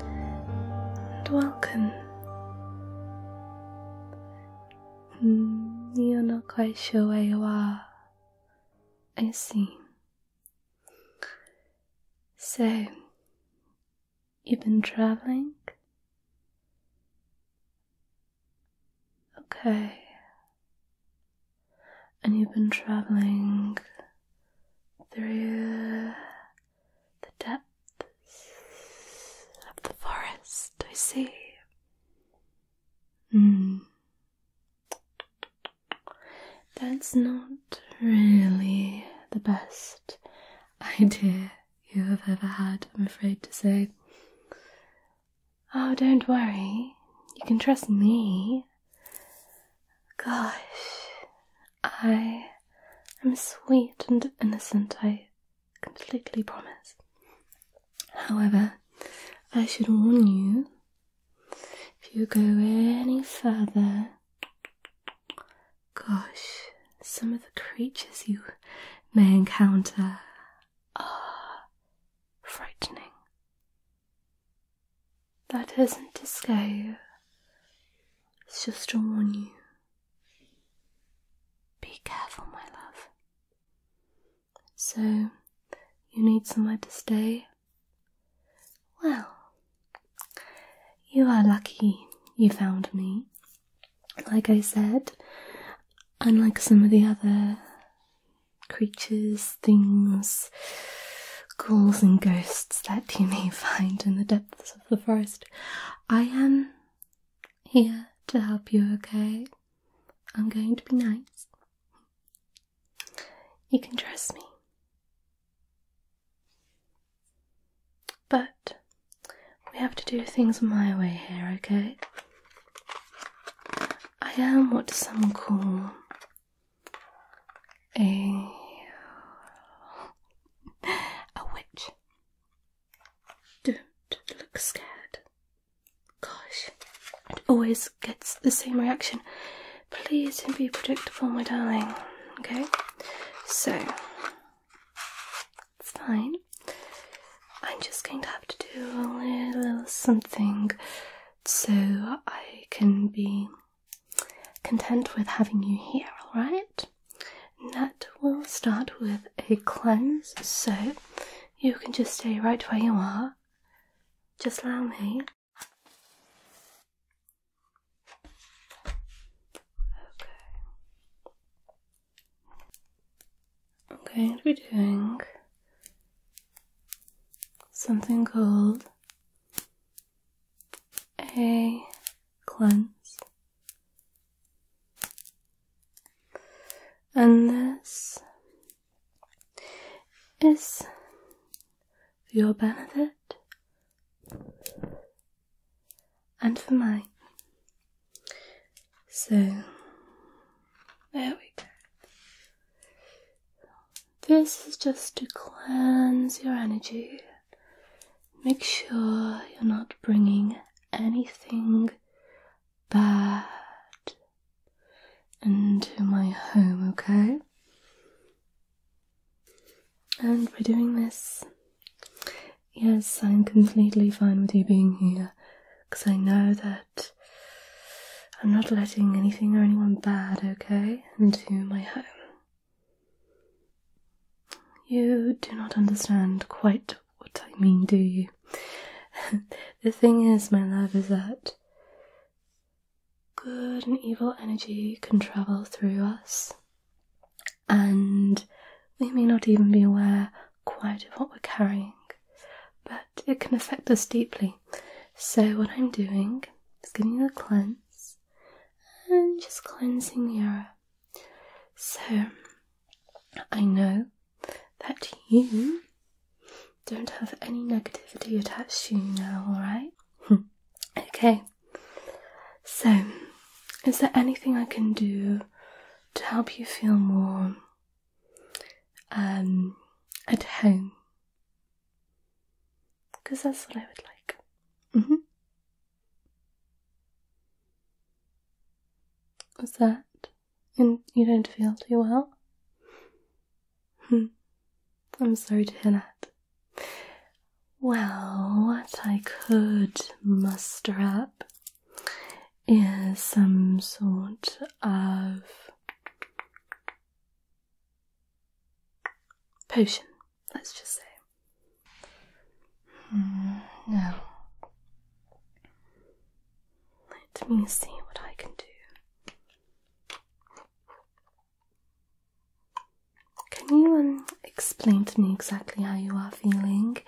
and welcome. Mm, you're not quite sure where you are. I see. So, you've been traveling? Okay. And you've been traveling through the depths of the forest, I see. Hmm. That's not really the best idea you have ever had, I'm afraid to say. Oh, don't worry. You can trust me. Gosh, I am sweet and innocent, I completely promise. However, I should warn you if you go any further, gosh, some of the creatures you may encounter are frightening. That isn't to scare you, it's just to warn you. Be careful, my love. So, you need somewhere to stay? Well, you are lucky you found me. Like I said, unlike some of the other creatures, things, ghouls and ghosts that you may find in the depths of the forest. I am here to help you, okay? I'm going to be nice. You can trust me. But we have to do things my way here, okay? I am what some call a a witch. Don't look scared. Gosh, it always gets the same reaction. Please don't be predictable, my darling. Okay, so fine. I'm just going to have to do a little something so I can be content with having you here, alright? That will start with a cleanse, so you can just stay right where you are. Just allow me. Okay. I'm going to be doing something called a cleanse. And this is for your benefit and for mine. So, there we go. This is just to cleanse your energy. Make sure you're not bringing anything bad into my home, okay? And by doing this, yes, I'm completely fine with you being here because I know that I'm not letting anything or anyone bad, okay, into my home. You do not understand quite what I mean, do you? the thing is, my love, is that good and evil energy can travel through us, and we may not even be aware quite of what we're carrying, but it can affect us deeply. So, what I'm doing is giving you a cleanse and just cleansing the aura, So, I know that you don't have any negativity attached to you now, alright? okay, so is there anything I can do to help you feel more um, at home because that's what I would like. Mm that? And you don't feel too well? Hmm. I'm sorry to hear that. Well, what I could muster up is some sort of potion, let's just say. Mm, let me see what I can do. Can you um, explain to me exactly how you are feeling?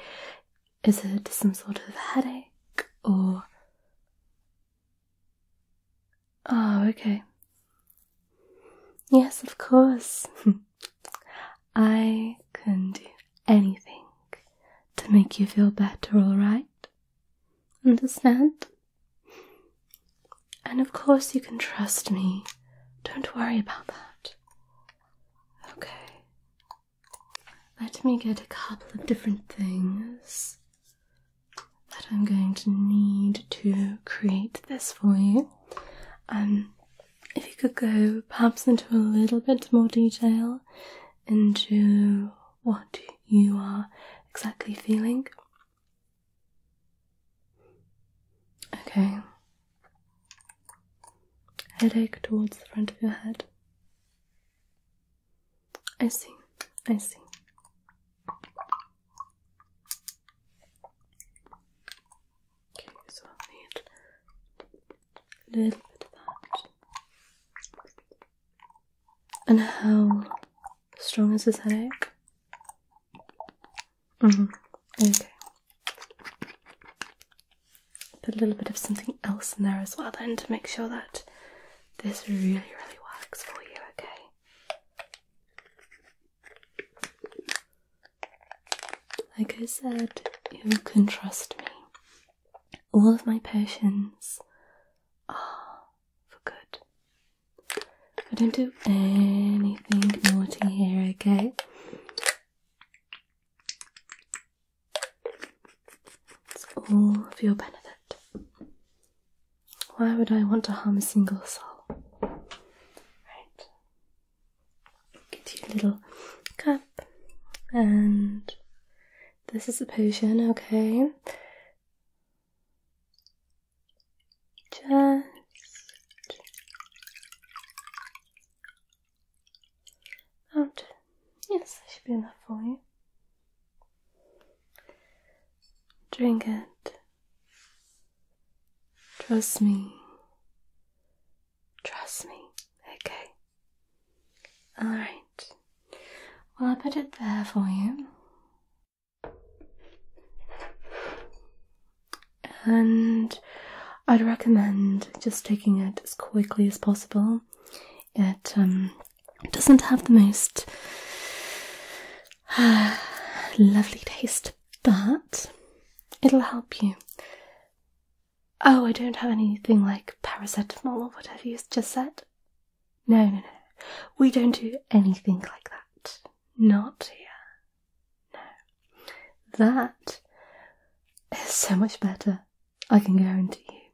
Is it some sort of headache or Oh, okay. Yes, of course. I can do anything to make you feel better, alright? Understand? And of course, you can trust me. Don't worry about that. Okay. Let me get a couple of different things that I'm going to need to create this for you. Um, if you could go perhaps into a little bit more detail into what you are exactly feeling. Okay. Headache towards the front of your head. I see. I see. Okay, so a little bit of that. And how strong is this headache? hmm Okay. Put a little bit of something else in there as well then to make sure that this really, really works for you, okay? Like I said, you can trust me. All of my potions are for good. I don't do anything naughty here, okay? It's all for your benefit. Why would I want to harm a single soul? Right. Get your little cup, and this is a potion, okay? Just out. Yes, that should be enough for you. Drink it. Trust me. Trust me. Okay. Alright. Well, I put it there for you. And I'd recommend just taking it as quickly as possible. It um, doesn't have the most lovely taste, but it'll help you. Oh, I don't have anything like paracetamol or whatever you have just said. No, no, no. We don't do anything like that. Not here. No. That is so much better, I can guarantee you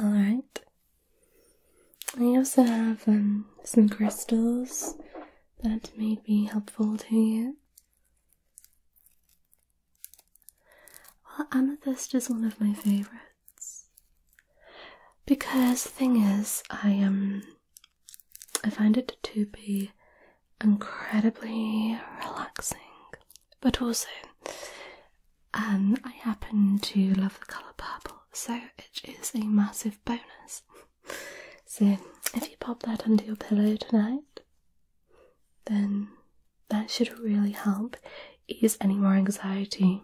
Alright. I also have um, some crystals that may be helpful to you. Well, amethyst is one of my favorites. Because the thing is, I um I find it to be incredibly relaxing but also um, I happen to love the colour purple, so it is a massive bonus. so if you pop that under your pillow tonight, then that should really help ease any more anxiety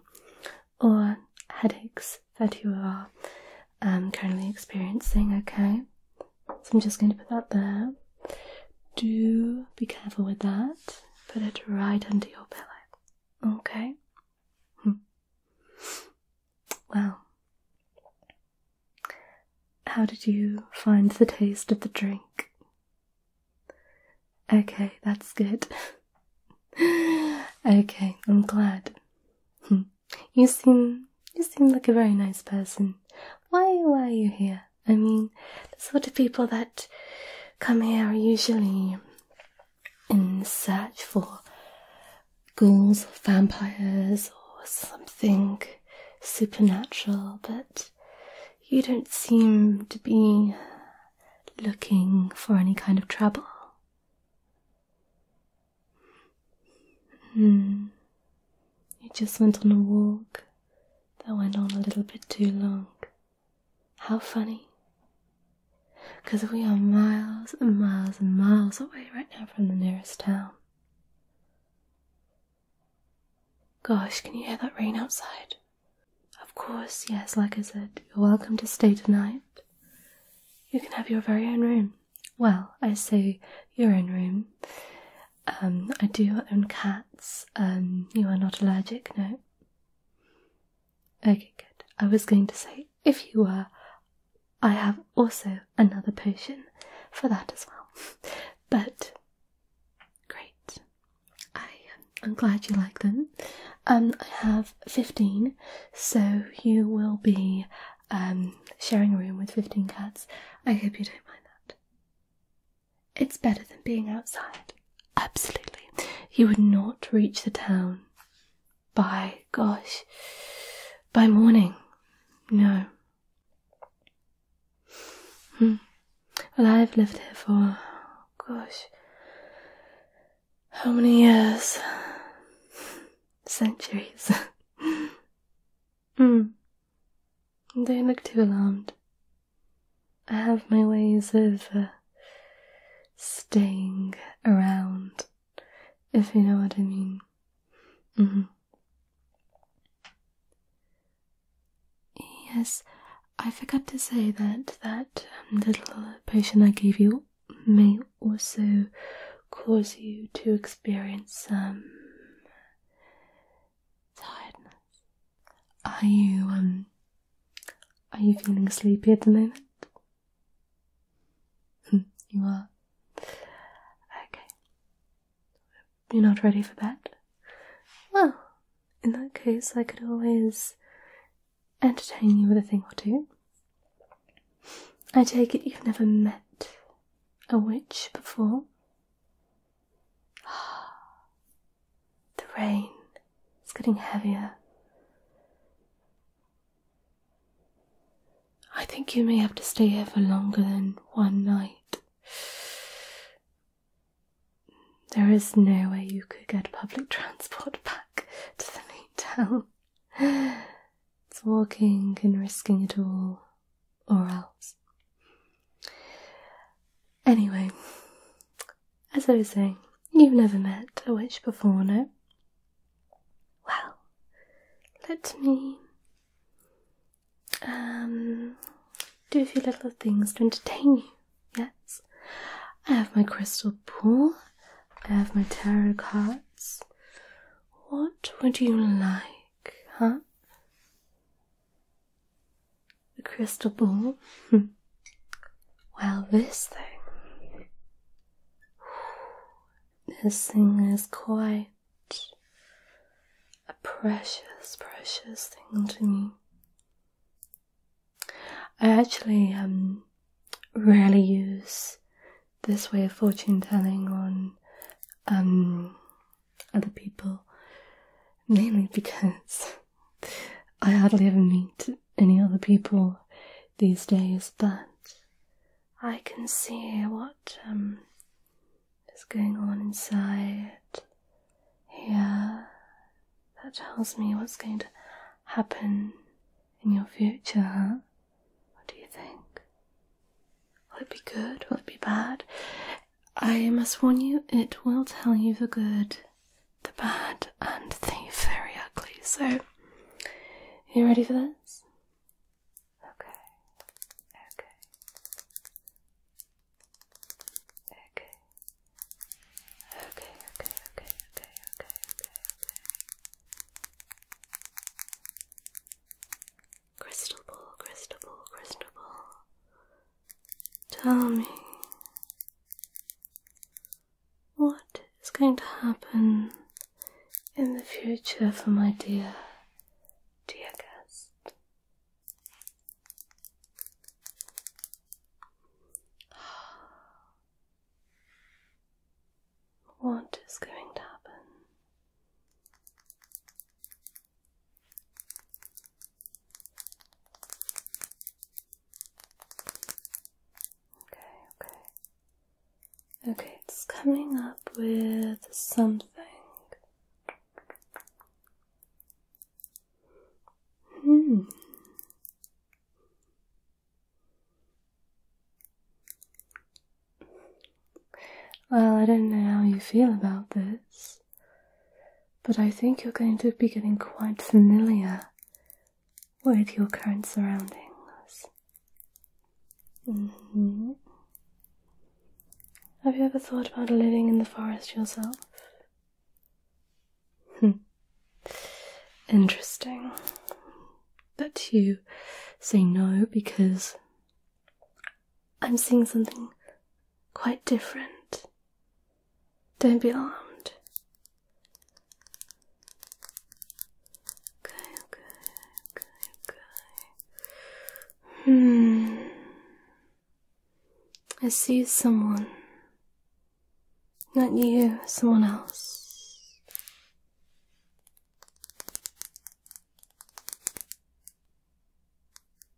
or headaches that you are um, currently experiencing, okay? So I'm just going to put that there do be careful with that. Put it right under your pillow. Okay? Hmm. Well, how did you find the taste of the drink? Okay, that's good. okay, I'm glad. Hmm. you seem you seem like a very nice person. Why why are you here? I mean, the sort of people that come here are usually in search for ghouls or vampires or something supernatural, but you don't seem to be looking for any kind of trouble. Hmm. You just went on a walk that went on a little bit too long. How funny! 'Cause we are miles and miles and miles away right now from the nearest town. Gosh, can you hear that rain outside? Of course, yes, like I said, you're welcome to stay tonight. You can have your very own room. Well, I say your own room. Um, I do own cats. Um, you are not allergic, no? Okay, good. I was going to say, if you were, I have also another potion for that as well. But great. I am glad you like them. Um, I have 15, so you will be sharing a room with 15 cats. I hope you don't mind that. It's better than being outside. Absolutely. You would not reach the town by, gosh, by morning. No. Hmm. Well, I've lived here for, gosh, how many years? Centuries. Hmm. Don't look too alarmed. I have my ways of uh, staying around, if you know what I mean. Mm -hmm. Yes, I forgot to say that that um, little uh, potion I gave you may also cause you to experience some um, tiredness. Are you um are you feeling sleepy at the moment? Hmm, you are. Okay. You're not ready for bed? Well, in that case I could always entertain you with a thing or two. I take it you've never met a witch before? the rain is getting heavier. I think you may have to stay here for longer than one night. There is no way you could get public transport back to the main It's walking and risking it all or else. Anyway, as I was saying, you've never met a witch before, no? Well, let me um, do a few little things to entertain you. Yes, I have my crystal ball, I have my tarot cards. What would you like, huh? The crystal ball? well, this thing. This thing is quite a precious, precious thing to me. I actually um, rarely use this way of fortune telling on um, other people, mainly because I hardly ever meet any other people these days, but I can see what um, is going on inside here. That tells me what's going to happen in your future. What do you think? Will it be good? Will it be bad? I must warn you, it will tell you the good, the bad, and the very ugly. So, are you ready for this? Okay. Okay, okay, okay, okay, okay, okay, okay. Crystal ball, crystal ball, crystal ball. Tell me what is going to happen in the future for my dear, dear guest. What is going to happen Okay, okay. Okay, it's coming up with something. Hmm. Well, I don't know how you feel about this, but I think you're going to be getting quite familiar with your current surroundings. Mm-hmm. Have you ever thought about living in the forest yourself? Hmm. Interesting. But you say no because I'm seeing something quite different. Don't be alarmed. Okay, okay, okay, okay. Hmm. I see someone. Not you, someone else.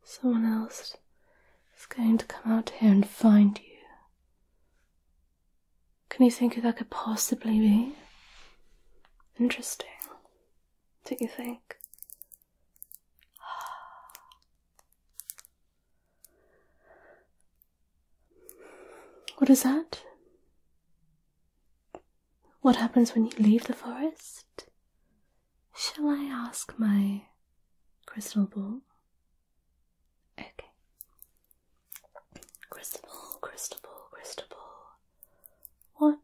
Someone else is going to come out here and find you. Can you think who that could possibly be? Interesting, don't you think? What is that? What happens when you leave the forest? Shall I ask my crystal ball? Okay. Crystal ball, crystal ball, crystal ball. What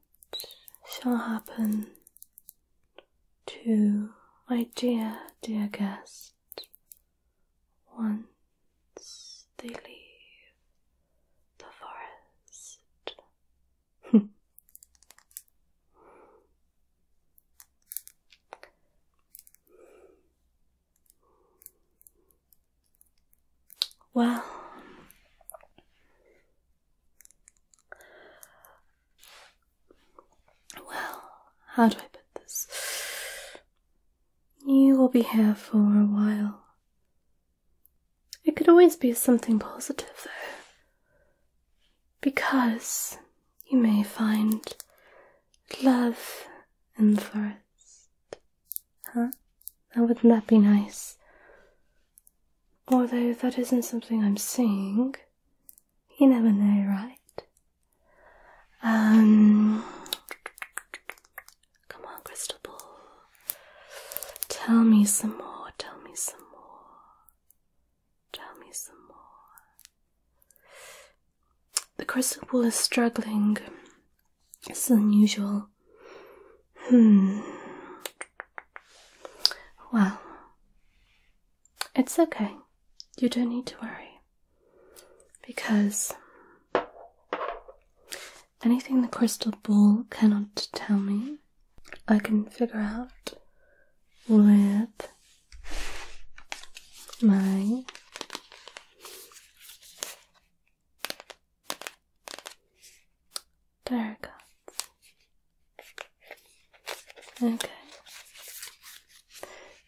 shall happen to my dear, dear guest once? they leave the forest. well, well, how do I put this? You will be here for a while. It could always be something positive, though, because you may find love in the forest. Huh? Now, wouldn't that be nice? Although that isn't something I'm seeing. You never know, right? Um, Come on, crystal ball. Tell me some more, tell me some more. Tell me some more. The crystal ball is struggling. It's unusual. Hmm. Well, it's okay. You don't need to worry. Because Anything the crystal ball cannot tell me, I can figure out with my terracotta. Okay.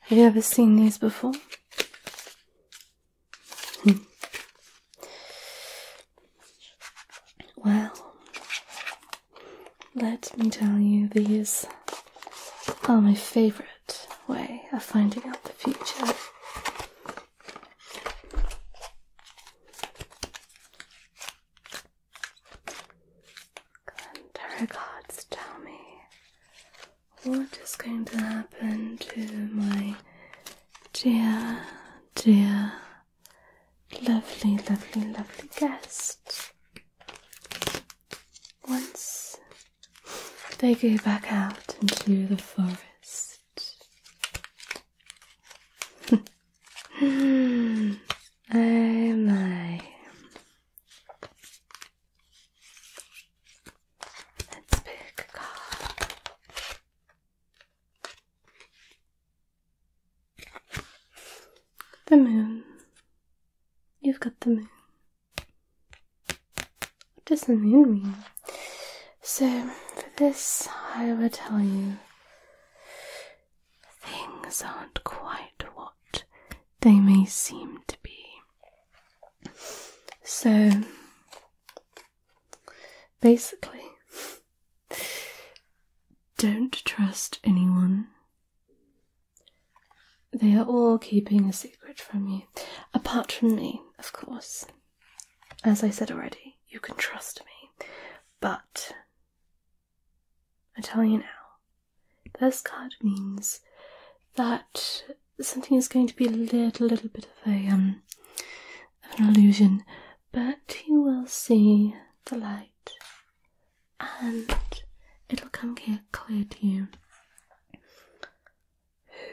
Have you ever seen these before? well, let me tell you, these are my favorite way of finding out the future. And cards tell me what is going to happen to my dear, dear, lovely, lovely, lovely guest. Once they go back out into the forest. oh my. Let's pick a card. The moon. You've got the moon. What does the moon mean? So, for this, I will tell you things aren't quite what they may seem to be. So, Basically, don't trust anyone. They are all keeping a secret from you. Apart from me, of course. As I said already, you can trust me. But I tell you now, this card means that something is going to be a little, bit of a um, of an illusion, but you will see the light, and it'll come clear to you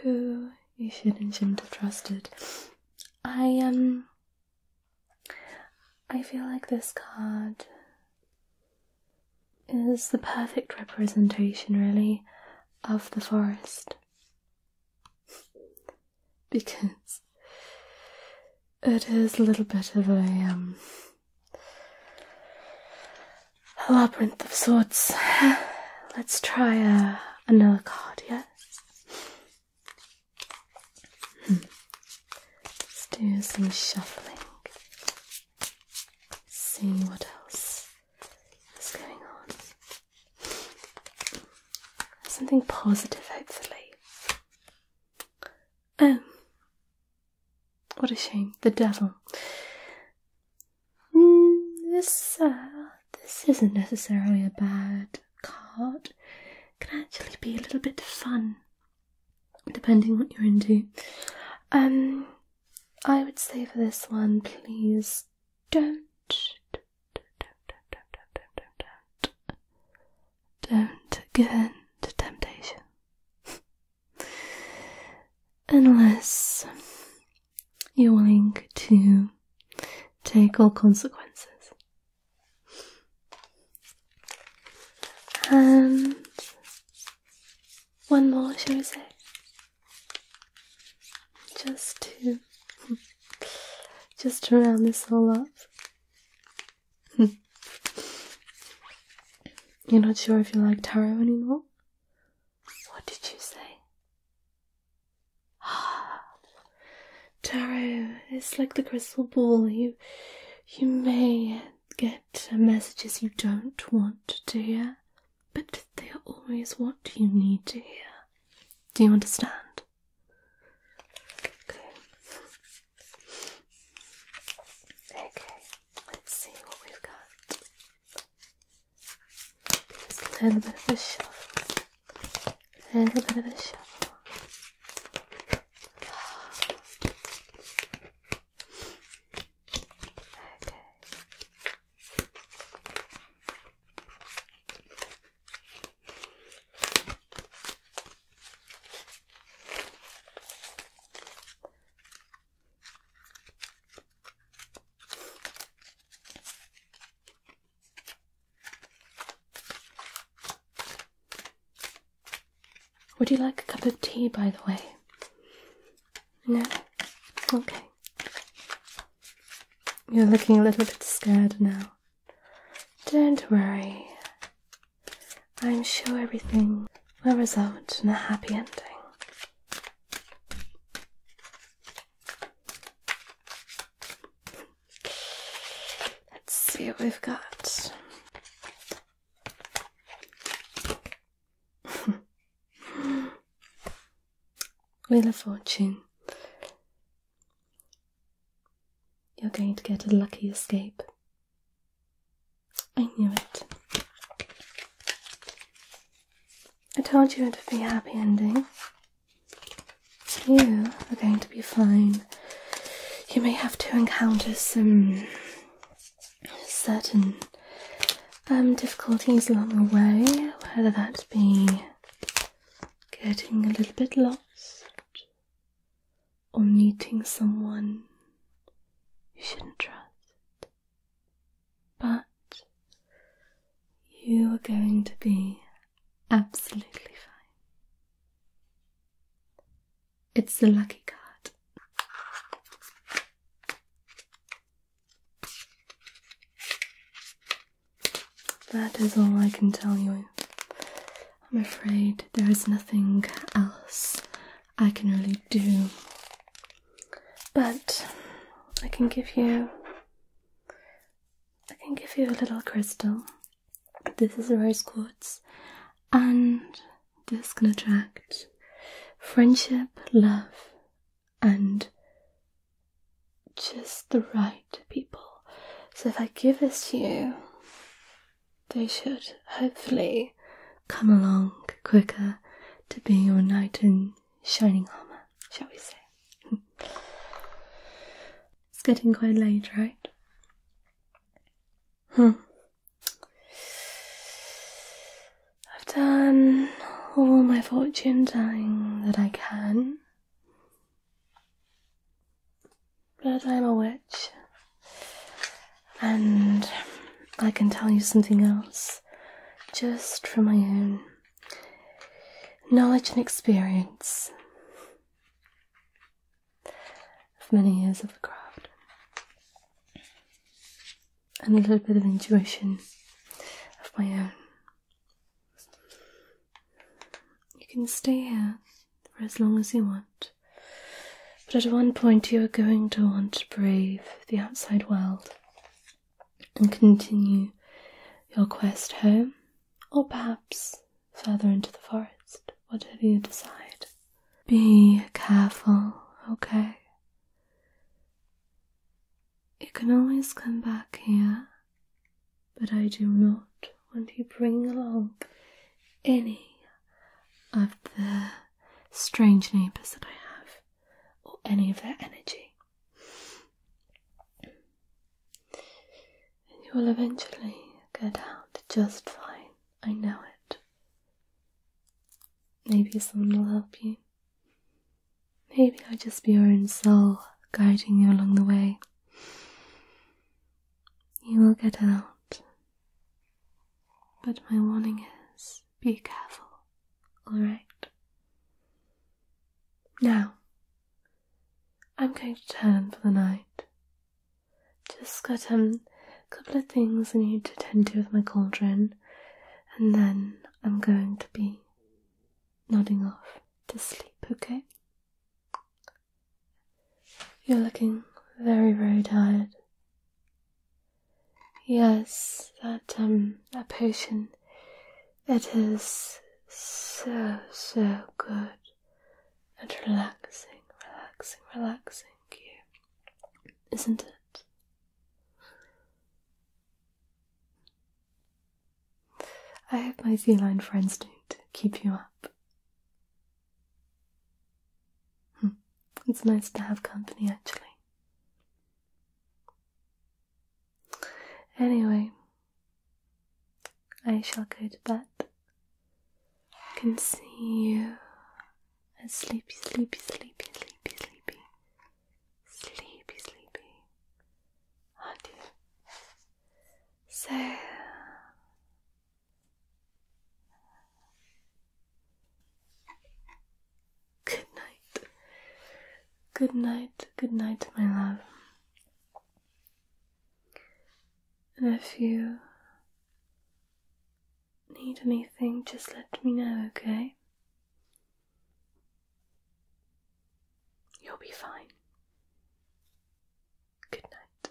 who you should and shouldn't have trusted. I um, I feel like this card is the perfect representation, really, of the forest because it is a little bit of um, a labyrinth of sorts. Let's try uh, another card, yes. Hmm. Let's do some shuffling. See what else that's going on. Something positive, hopefully. Oh, what a shame. The devil. Hmm, this, uh, this isn't necessarily a bad card. It can actually be a little bit fun, depending what you're into. Um, I would say for this one, please don't, don't, give in to temptation. Unless you're willing to take all consequences. And one more, shall we say? just to just to round this all up. You're not sure if you like tarot anymore? What did you say? Ah, tarot is like the crystal ball. You you may get messages you don't want to hear but they're always what you need to hear. Do you understand? Okay. Okay, let's see what we've got. Just a little bit of a shuffle. A little bit of a shuffle. Okay. Would you like a cup of tea, by the way? No? Okay. You're looking a little bit scared now. Don't worry. I'm sure everything will result in a happy ending. Let's see what we've got. Wheel of Fortune. You're going to get a lucky escape. I knew it. I told you it'd be a happy ending. You are going to be fine. You may have to encounter some certain um, difficulties along the way, whether that be getting a little bit lost or meeting someone you shouldn't trust. But you are going to be absolutely fine. It's the lucky card. That is all I can tell you. I'm afraid there is nothing else I can really do. But I can give you I can give you a little crystal. This is rose quartz and this can attract friendship, love and just the right people. So if I give this to you, they should hopefully come along quicker to be your knight in shining armour, shall we say. it's getting quite late, right? Hmm. I've done all my fortune telling that I can. But I'm a witch. And I can tell you something else, just from my own knowledge and experience of many years of the craft and a little bit of intuition of my own. You can stay here for as long as you want, but at one point you are going to want to brave the outside world and continue your quest home, or perhaps further into the forest, whatever you decide. Be careful, okay? You can always come back here, but I do not want you bringing along any of the strange neighbours that I have, or any of their energy. And you will eventually get out just fine, I know it. Maybe someone will help you. Maybe I'll just be your own soul guiding you along the way. You will get out. But my warning is be careful, alright? Now, I'm going to turn for the night. Just got a um, couple of things I need to tend to with my cauldron and then I'm going to be nodding off to sleep, okay? You're looking very, very tired. Yes, that um that potion it is so so good and relaxing, relaxing, relaxing you. Isn't it? I hope my feline friends don't keep you up. Hmm. It's nice to have company actually. Anyway, I shall go to bed. I can see you and sleepy, sleepy, sleepy, sleepy, sleepy, sleepy, sleepy. Oh dear. So good night, good night, good night, my love. And if you need anything, just let me know, okay? You'll be fine. Good night.